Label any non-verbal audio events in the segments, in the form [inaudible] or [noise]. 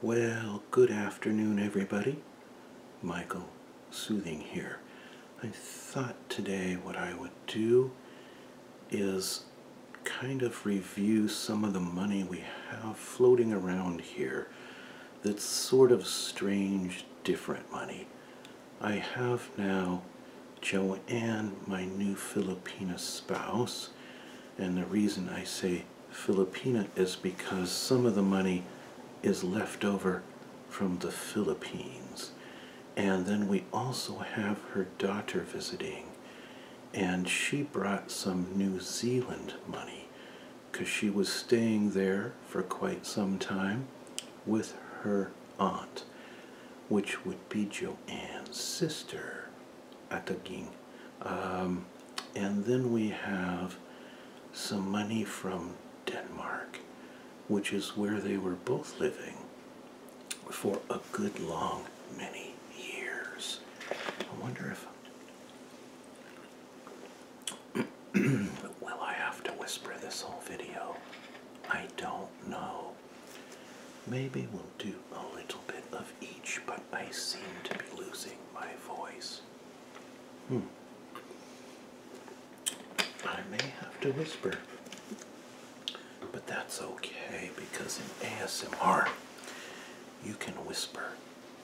Well, good afternoon, everybody. Michael Soothing here. I thought today what I would do is kind of review some of the money we have floating around here that's sort of strange, different money. I have now Joanne, my new Filipina spouse, and the reason I say Filipina is because some of the money is left over from the Philippines. And then we also have her daughter visiting, and she brought some New Zealand money because she was staying there for quite some time with her aunt, which would be Joanne's sister. Ataging. Um, and then we have some money from Denmark, which is where they were both living for a good long many years. I wonder if [clears throat] will I have to whisper this whole video? I don't know. Maybe we'll do a little bit of each, but I seem to be losing my voice. Hmm. I may have to whisper, but that's okay because in ASMR you can whisper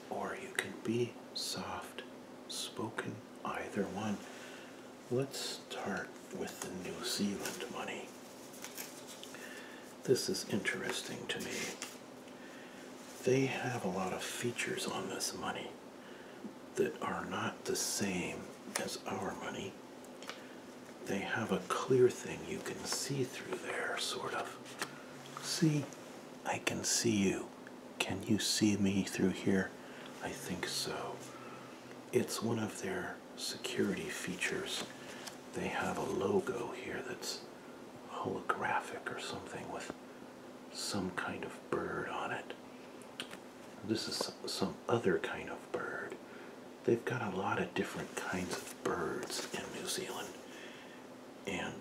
or you can be soft spoken, either one. Let's start with the New Zealand money. This is interesting to me. They have a lot of features on this money that are not the same as our money. They have a clear thing you can see through there, sort of. See, I can see you. Can you see me through here? I think so. It's one of their security features. They have a logo here that's holographic or something with some kind of bird on it. This is some other kind of bird. They've got a lot of different kinds of birds in New Zealand. And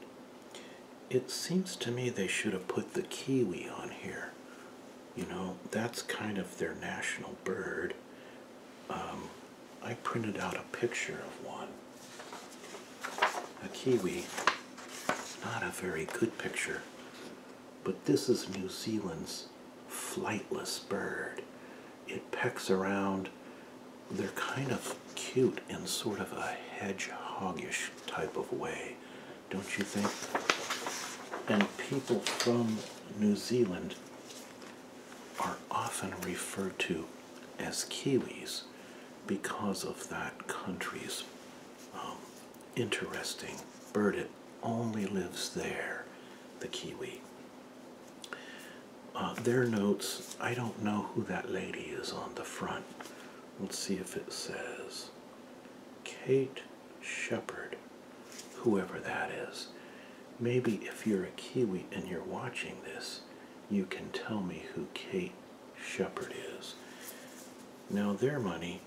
it seems to me they should have put the kiwi on here. You know, that's kind of their national bird. Um, I printed out a picture of one. A kiwi. Not a very good picture. But this is New Zealand's flightless bird. It pecks around. They're kind of cute in sort of a hedgehogish type of way, don't you think? And people from New Zealand are often referred to as Kiwis because of that country's um, interesting bird. It only lives there, the Kiwi. Uh, their notes, I don't know who that lady is on the front. Let's see if it says Kate Shepherd. whoever that is. Maybe if you're a Kiwi and you're watching this, you can tell me who Kate Shepherd is. Now, their money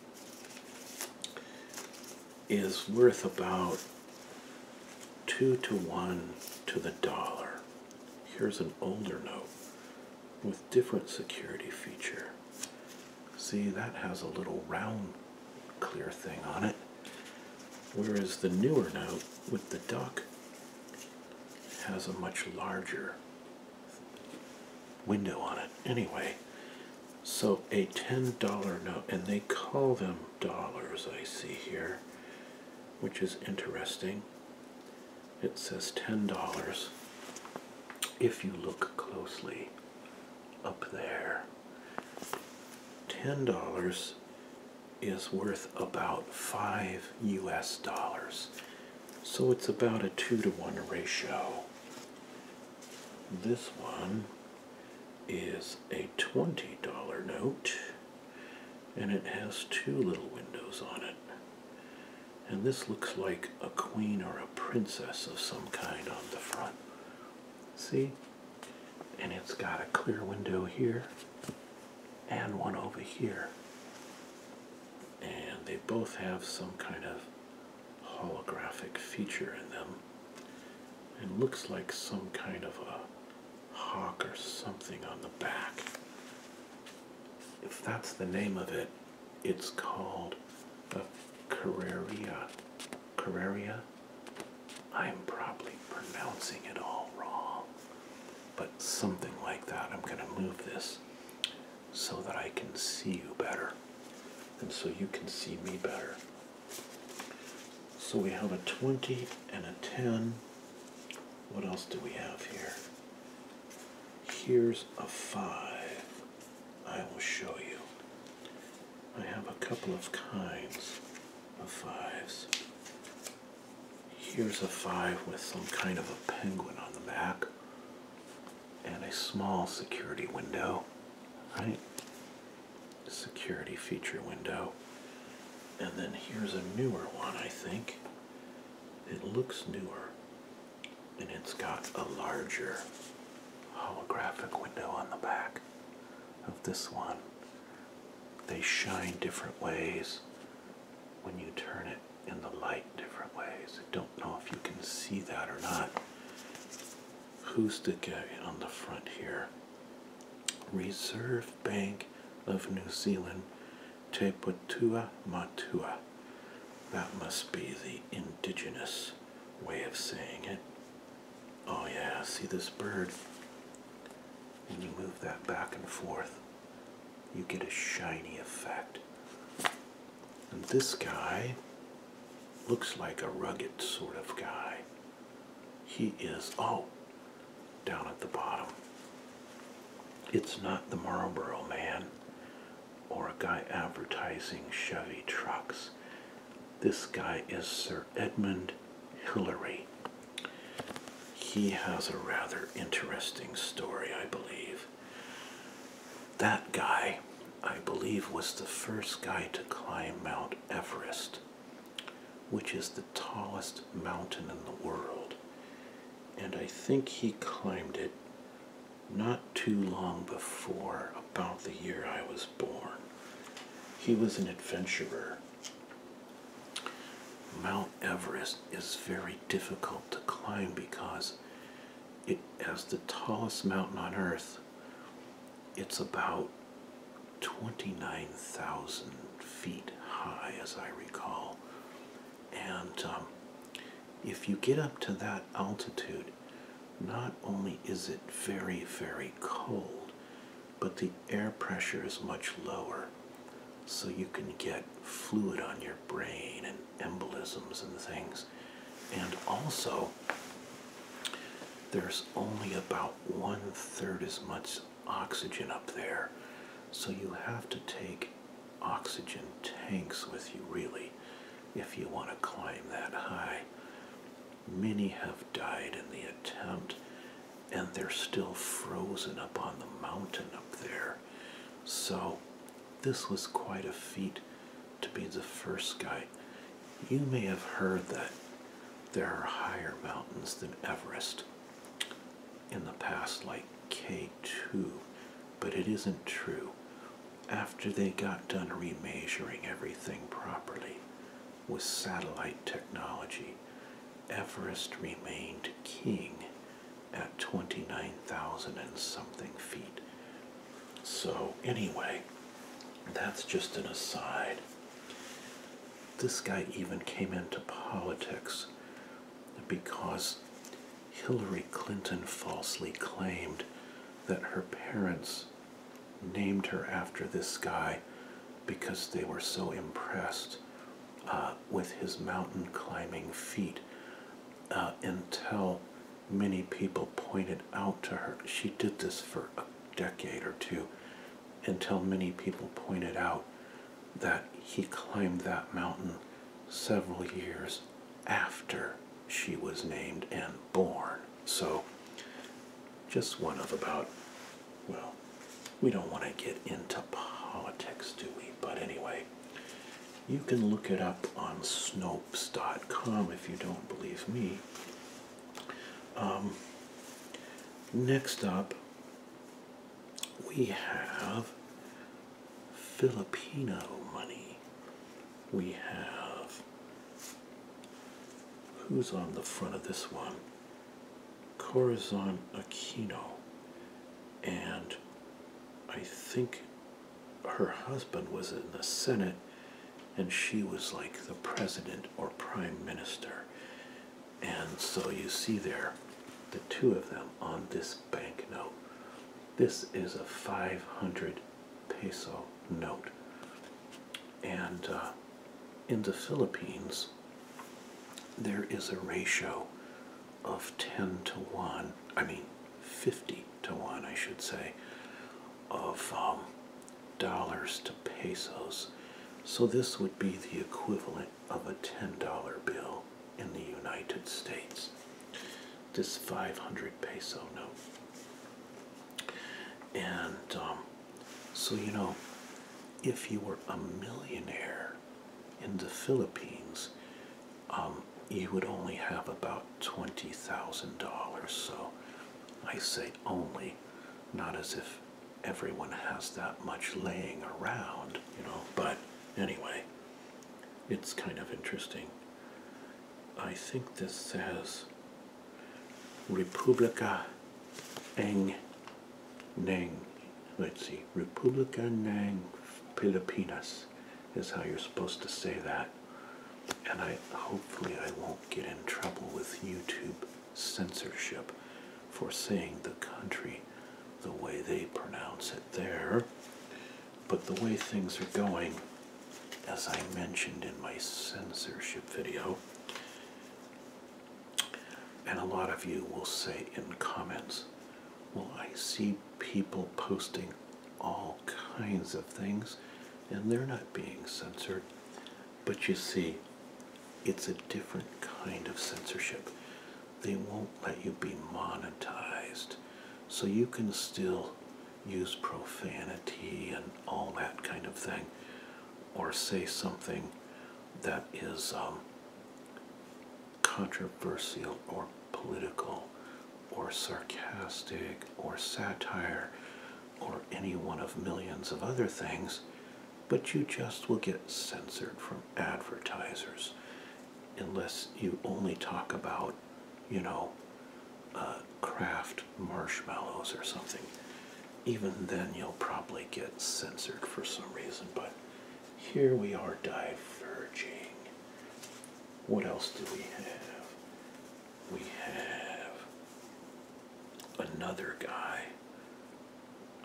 is worth about two to one to the dollar. Here's an older note with different security feature. See, that has a little round clear thing on it. Whereas the newer note with the duck has a much larger window on it. Anyway, so a $10 note, and they call them dollars, I see here, which is interesting. It says $10 if you look closely up there. $10 is worth about 5 US dollars. So it's about a 2 to 1 ratio. This one is a $20 note and it has two little windows on it. And this looks like a queen or a princess of some kind on the front. See? and it's got a clear window here and one over here and they both have some kind of holographic feature in them it looks like some kind of a hawk or something on the back if that's the name of it it's called a Carraria Carraria I'm probably pronouncing it all wrong, but something like that. I'm going to move this so that I can see you better and so you can see me better. So we have a 20 and a 10. What else do we have here? Here's a 5. I will show you. I have a couple of kinds of fives. Here's a five with some kind of a penguin on the back and a small security window, right? Security feature window. And then here's a newer one, I think. It looks newer and it's got a larger holographic window on the back of this one they shine different ways when you turn it in the light different ways. I don't know if you can see that or not. Who's the guy on the front here? Reserve Bank of New Zealand, Te Putua Matua. That must be the indigenous way of saying it. Oh, yeah, see this bird? When you move that back and forth, you get a shiny effect. And this guy looks like a rugged sort of guy. He is, oh, down at the bottom. It's not the Marlboro man or a guy advertising Chevy trucks. This guy is Sir Edmund Hillary. He has a rather interesting story, I believe. That guy, I believe, was the first guy to climb Mount Everest, which is the tallest mountain in the world. And I think he climbed it not too long before, about the year I was born. He was an adventurer Mount Everest is very difficult to climb because it as the tallest mountain on earth it's about 29,000 feet high as I recall and um, if you get up to that altitude not only is it very very cold but the air pressure is much lower. So you can get fluid on your brain and embolisms and things. And also, there's only about one third as much oxygen up there. So you have to take oxygen tanks with you, really, if you want to climb that high. Many have died in the attempt, and they're still frozen up on the mountain up there. So, this was quite a feat to be the first guy. You may have heard that there are higher mountains than Everest in the past, like K2, but it isn't true. After they got done remeasuring everything properly, with satellite technology, Everest remained king at 29,000 and something feet. So, anyway, that's just an aside. This guy even came into politics because Hillary Clinton falsely claimed that her parents named her after this guy because they were so impressed uh, with his mountain climbing feat uh, until many people pointed out to her. She did this for a decade or two until many people pointed out that he climbed that mountain several years after she was named and born. So just one of about, well, we don't want to get into politics, do we? But anyway, you can look it up on Snopes.com if you don't believe me. Um, next up, we have Filipino money. We have Who's on the front of this one? Corazon Aquino. And I think her husband was in the Senate and she was like the president or prime minister. And so you see there the two of them on this banknote. This is a 500 peso note. And uh, in the Philippines, there is a ratio of 10 to 1, I mean 50 to 1, I should say, of um, dollars to pesos. So this would be the equivalent of a $10 bill in the United States, this 500 peso note. And um, so, you know, if you were a millionaire in the Philippines, um, you would only have about $20,000. So I say only, not as if everyone has that much laying around, you know, but anyway, it's kind of interesting. I think this says Republika Ng Nang. Let's see. Republika Nang Pilipinas is how you're supposed to say that. And I hopefully I won't get in trouble with YouTube censorship for saying the country the way they pronounce it there. But the way things are going, as I mentioned in my censorship video. And a lot of you will say in comments, well, I see people posting all kinds of things and they're not being censored. But you see, it's a different kind of censorship. They won't let you be monetized. So you can still use profanity and all that kind of thing, or say something that is um, controversial or political or sarcastic or satire or any one of millions of other things, but you just will get censored from advertisers unless you only talk about, you know, uh, craft marshmallows or something, even then you'll probably get censored for some reason. But here we are diverging. What else do we have? We have another guy.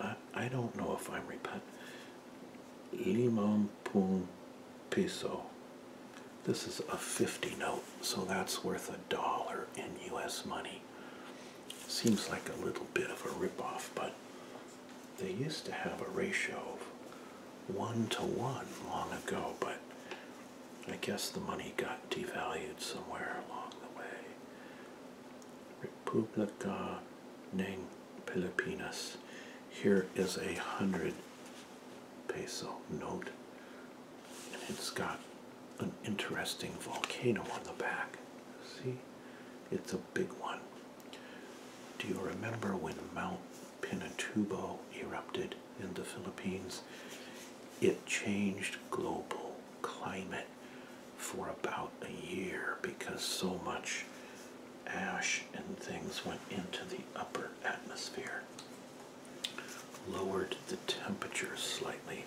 I, I don't know if I'm repent. Limon pun piso. This is a 50 note, so that's worth a dollar in US money. Seems like a little bit of a ripoff, but they used to have a ratio of one to one long ago, but I guess the money got devalued somewhere along the way. Republica Neng Pilipinas. Here is a hundred peso note and it's got an interesting volcano on the back. See? It's a big one. Do you remember when Mount Pinatubo erupted in the Philippines? It changed global climate for about a year because so much ash and things went into the upper atmosphere lowered the temperature slightly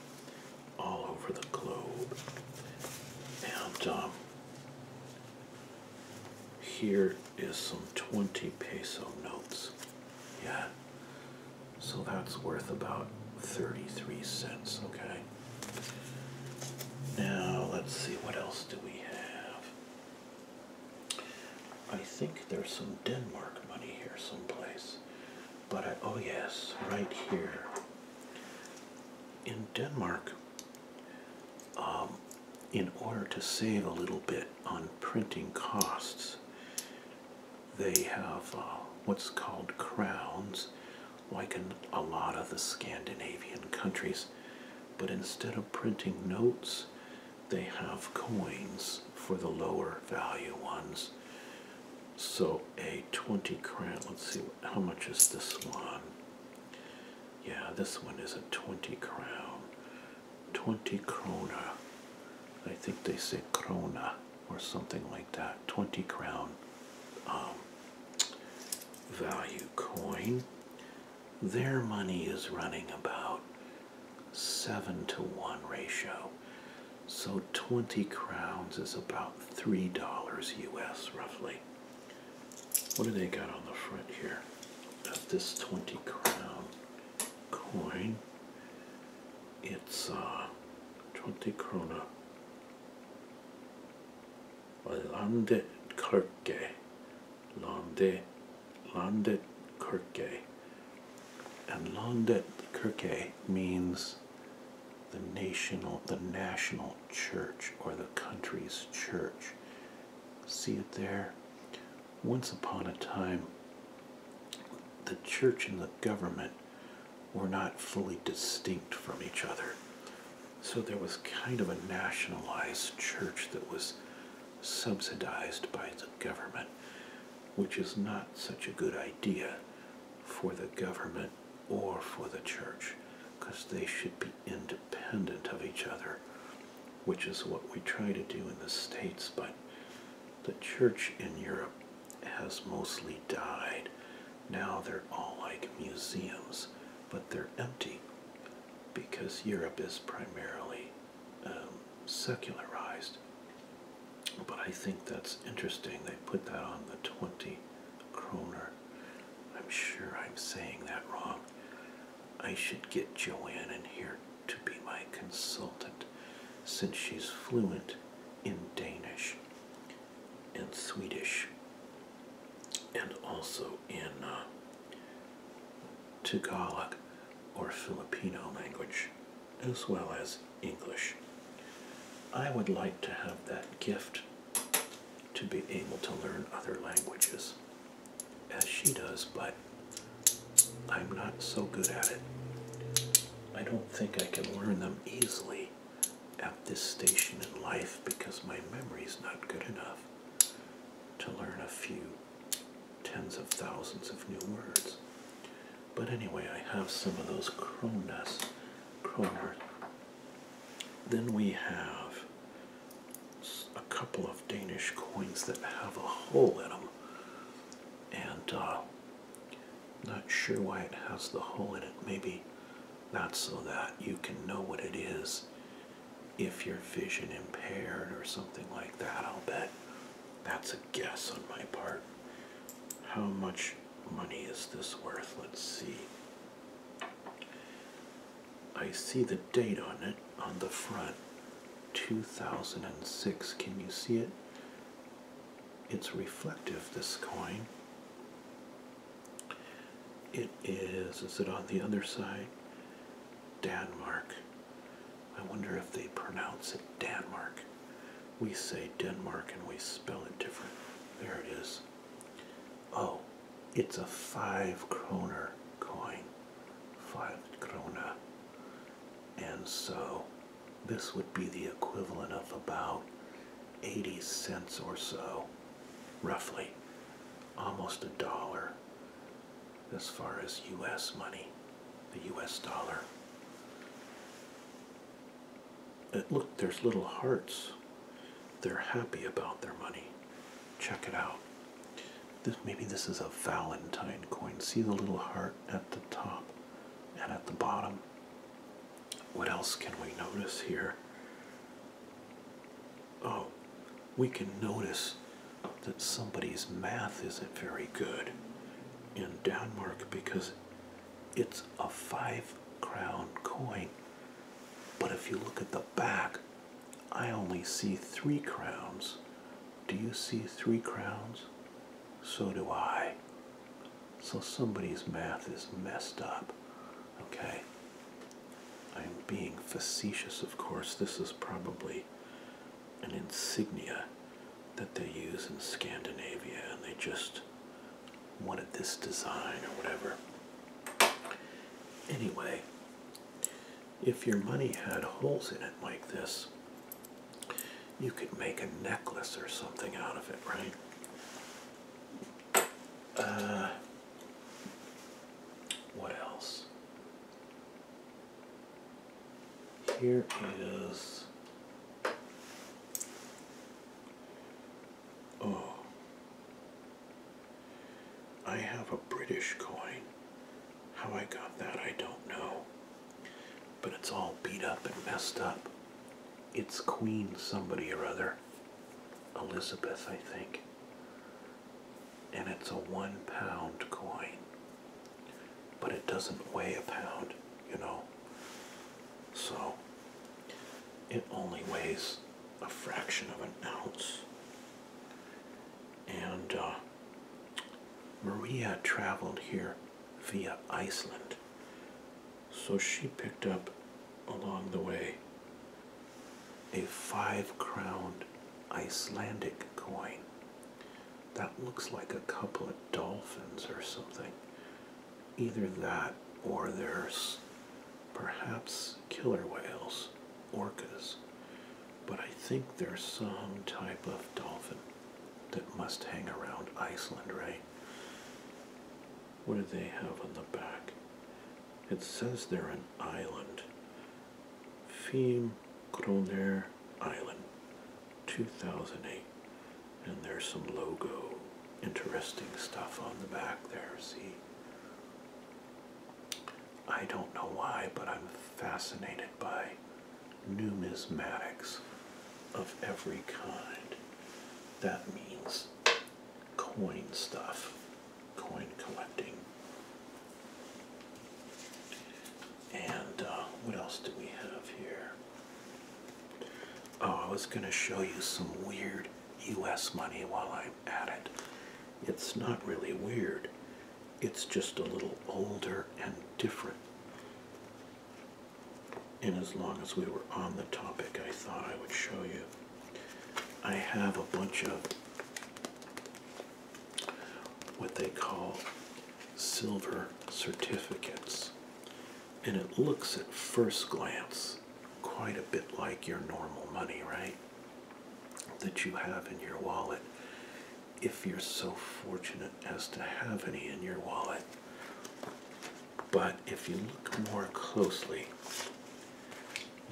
all over the globe. And um, here is some 20 peso notes. Yeah. So that's worth about 33 cents, okay? Now, let's see, what else do we have? I think there's some Denmark money here someplace. But oh yes, right here. In Denmark, um, in order to save a little bit on printing costs, they have uh, what's called crowns, like in a lot of the Scandinavian countries. But instead of printing notes, they have coins for the lower value ones. So a 20 crown. let's see, how much is this one? Yeah, this one is a 20 crown. 20 krona. I think they say krona or something like that. 20 crown um, value coin. Their money is running about 7 to 1 ratio. So 20 crowns is about $3 US roughly. What do they got on the front here of this 20 crown coin? It's uh, 20 krona. Landklerke Landet, Landet Kirke. And Landet Kirke means the national, the national church or the country's church. See it there? Once upon a time, the church and the government were not fully distinct from each other. So there was kind of a nationalized church that was subsidized by the government, which is not such a good idea for the government or for the church, because they should be independent of each other, which is what we try to do in the States, but the church in Europe has mostly died. Now they're all like museums, but they're empty because Europe is primarily um, secularized. But I think that's interesting. They put that on the 20 kroner. I'm sure I'm saying that wrong. I should get Joanne in here to be my consultant since she's fluent in Danish and Swedish and also in uh, Tagalog or Filipino language as well as English. I would like to have that gift to be able to learn other languages as she does, but I'm not so good at it. I don't think I can learn them easily at this station in life because my memory is not good enough to learn a few tens of thousands of new words. But anyway, I have some of those kronas, Kroner. Then we have a couple of Danish coins that have a hole in them. And uh, not sure why it has the hole in it. Maybe that's so that you can know what it is if your vision impaired or something like that, I'll bet that's a guess on my part. How much money is this worth? Let's see. I see the date on it on the front 2006. Can you see it? It's reflective, this coin. It is, is it on the other side? Denmark. I wonder if they pronounce it Danmark. We say Denmark and we spell it different. There it is. Oh, it's a five kroner coin. Five krona. And so this would be the equivalent of about 80 cents or so, roughly. Almost a dollar as far as US money, the US dollar. look, there's little hearts. They're happy about their money. Check it out. maybe this is a Valentine coin. See the little heart at the top and at the bottom. What else can we notice here? oh, we can notice that somebody's math isn't very good in Denmark because it's a five crown coin. But if you look at the back, I only see three crowns. Do you see three crowns? So do I. So somebody's math is messed up. Okay? I'm being facetious, of course. This is probably an insignia that they use in Scandinavia, and they just wanted this design or whatever. Anyway, if your money had holes in it like this, you could make a necklace or something out of it, right? Uh, what else? Here is oh I have a British coin. How I got that I don't know. But it's all beat up and messed up. It's Queen somebody or other. Elizabeth, I think and it's a one pound coin, but it doesn't weigh a pound, you know, so it only weighs a fraction of an ounce. And uh, Maria traveled here via Iceland, so she picked up along the way a five crowned Icelandic coin. That looks like a couple of dolphins or something. Either that or there's perhaps killer whales, orcas, but I think there's some type of dolphin that must hang around Iceland, right? What do they have on the back? It says they're an island, Feme Kroner Island 2008 and there's some logo interesting stuff on the back there see I don't know why but I'm fascinated by numismatics of every kind that means coin stuff coin collecting. And uh, what else do we have here? Oh, I was going to show you some weird US money while I'm at it. It's not really weird, it's just a little older and different. And as long as we were on the topic, I thought I would show you I have a bunch of what they call silver certificates, and it looks at first glance quite a bit like your normal money, right? That you have in your wallet. If you're so fortunate as to have any in your wallet. But if you look more closely,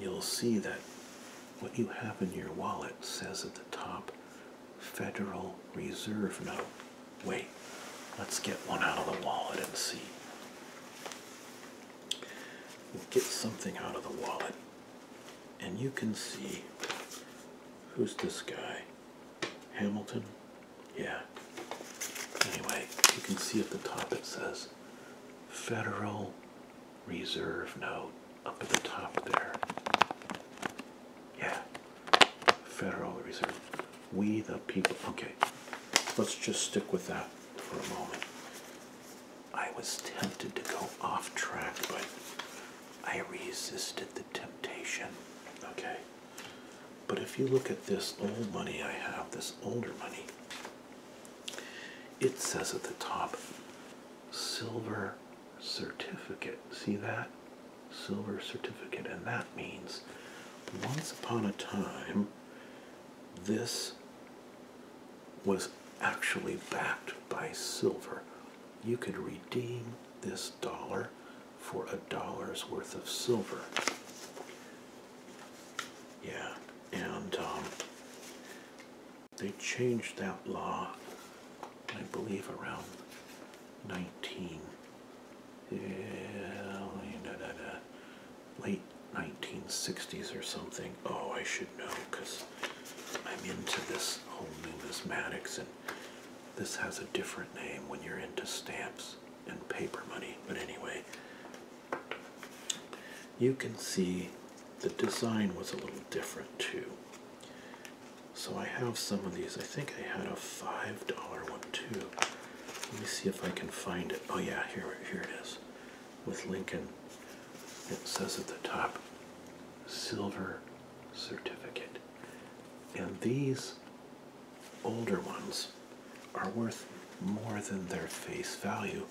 you'll see that what you have in your wallet says at the top Federal Reserve note. Wait, let's get one out of the wallet and see. get something out of the wallet, and you can see who's this guy? Hamilton? Yeah. Anyway, you can see at the top it says Federal reserve note up at the top there. Yeah. Federal Reserve. We the people. Okay. Let's just stick with that for a moment. I was tempted to go off track, but I resisted the temptation. Okay. But if you look at this old money I have, this older money, it says at the top, silver certificate. See that? Silver certificate. And that means once upon a time, this was actually backed by silver. You could redeem this dollar for a dollar's worth of silver. Yeah, and um, they changed that law, I believe, around 19. Yeah, late 1960s or something. Oh, I should know because I'm into this whole numismatics and this has a different name when you're into stamps and paper money. But anyway, you can see the design was a little different too. So I have some of these. I think I had a five dollar one too. Let me see if I can find it. Oh yeah, here here it is. With Lincoln. It says at the top silver certificate. And these older ones are worth more than their face value,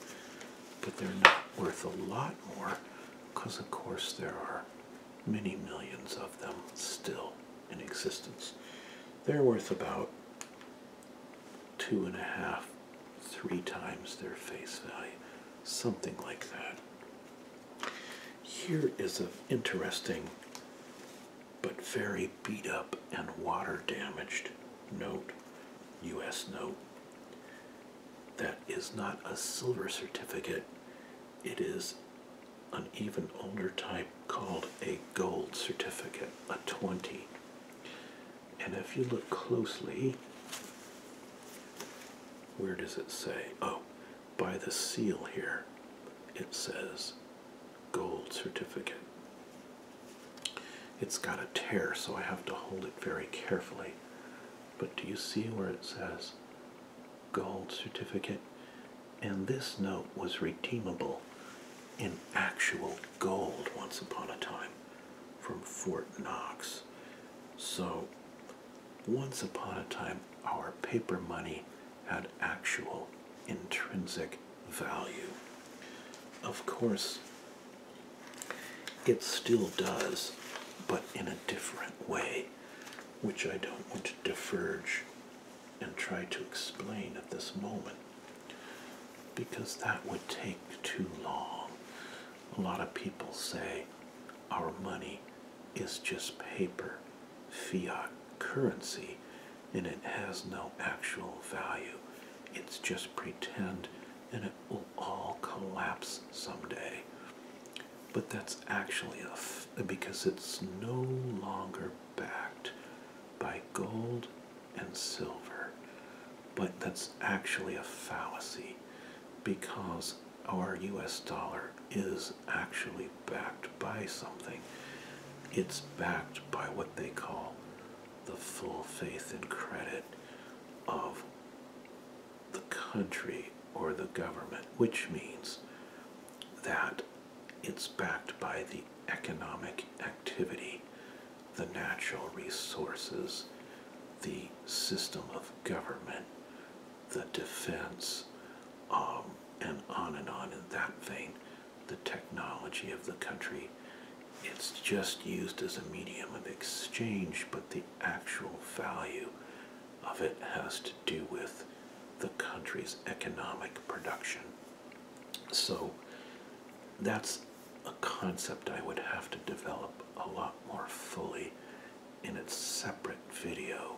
but they're not worth a lot more because, of course, there are many millions of them still in existence. They're worth about two and a half, three times their face value, something like that. Here is an interesting but very beat up and water damaged note, U.S. note. That is not a silver certificate, it is an even older type called a gold certificate, a 20. And if you look closely, where does it say? Oh, by the seal here, it says gold certificate. It's got a tear, so I have to hold it very carefully. But do you see where it says gold certificate? And this note was redeemable in actual gold once upon a time from Fort Knox. So, once upon a time, our paper money had actual intrinsic value. Of course, it still does, but in a different way, which I don't want to diverge and try to explain at this moment because that would take too long. A lot of people say our money is just paper, fiat currency, and it has no actual value. It's just pretend and it will all collapse someday. But that's actually a because it's no longer backed by gold and silver. But that's actually a fallacy because our US dollar is actually backed by something. It's backed by what they call the full faith and credit of the country or the government, which means that it's backed by the economic activity, the natural resources, the system of government, the defense, um, and on and on in that vein the technology of the country. It's just used as a medium of exchange, but the actual value of it has to do with the country's economic production. So that's a concept I would have to develop a lot more fully in its separate video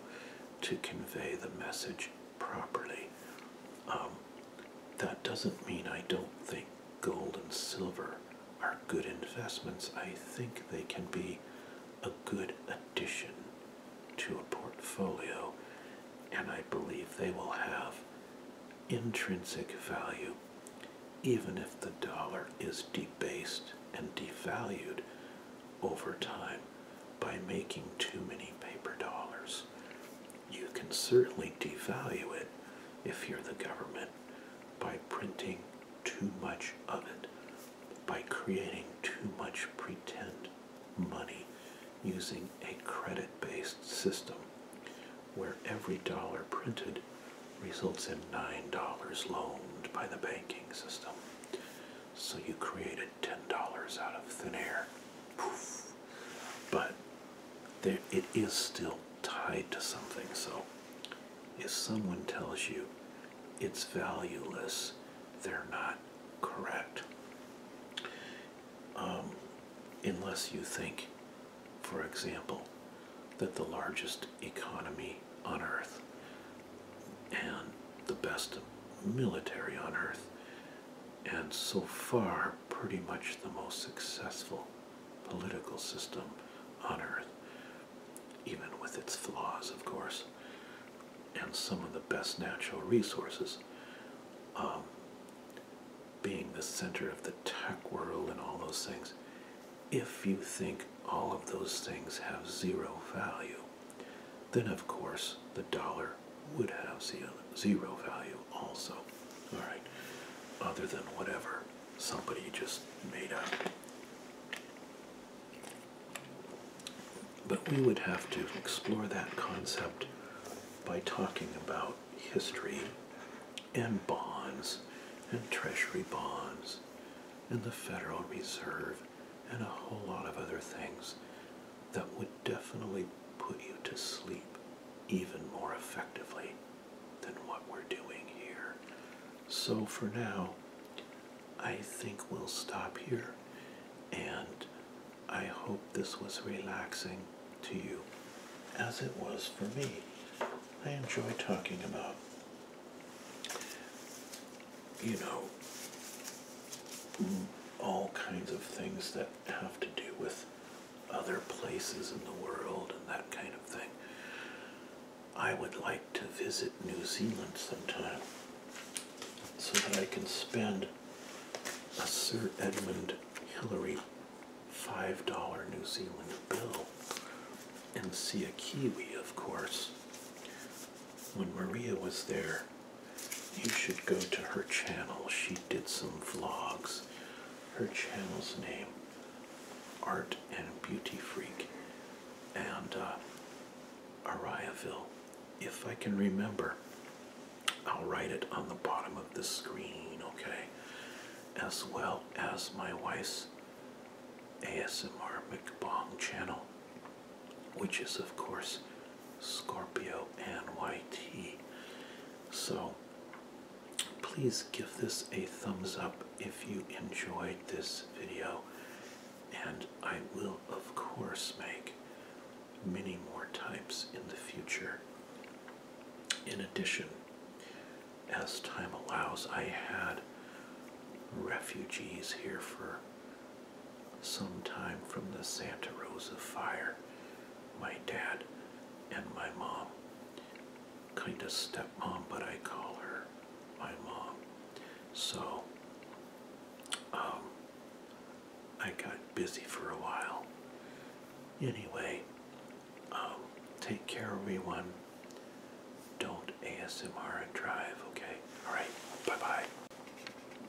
to convey the message properly. Um, that doesn't mean I don't think gold and silver are good investments. I think they can be a good addition to a portfolio, and I believe they will have intrinsic value even if the dollar is debased and devalued over time by making too many paper dollars. You can certainly devalue it if you're the government by printing too much of it, by creating too much pretend money using a credit based system where every dollar printed results in $9 loaned by the banking system. So you created $10 out of thin air. But it is still tied to something. So if someone tells you it's valueless, they're not correct. Um, unless you think, for example, that the largest economy on earth and the best military on earth and so far pretty much the most successful political system on earth, even with its flaws, of course, and some of the best natural resources. Um, being the center of the tech world and all those things, if you think all of those things have zero value, then of course the dollar would have zero value also. Alright. Other than whatever somebody just made up. But we would have to explore that concept by talking about history and bonds and treasury bonds and the Federal Reserve and a whole lot of other things that would definitely put you to sleep even more effectively than what we're doing here. So for now, I think we'll stop here and I hope this was relaxing to you as it was for me. I enjoy talking about, you know, all kinds of things that have to do with other places in the world and that kind of thing. I would like to visit New Zealand sometime so that I can spend a Sir Edmund Hillary $5 New Zealand bill and see a Kiwi, of course. When Maria was there, you should go to her channel. She did some vlogs. Her channel's name, Art and Beauty Freak, and uh, Ariaville. If I can remember, I'll write it on the bottom of the screen, okay? As well as my wife's ASMR McBong channel, which is, of course, Scorpio NYT. So please give this a thumbs up if you enjoyed this video, and I will, of course, make many more types in the future. In addition, as time allows, I had refugees here for sometime from the Santa Rosa fire, my dad and my mom, kind of stepmom, but I call her my mom. So, um, I got busy for a while. Anyway, um, take care, everyone. Don't ASMR and drive, okay? Alright, bye bye.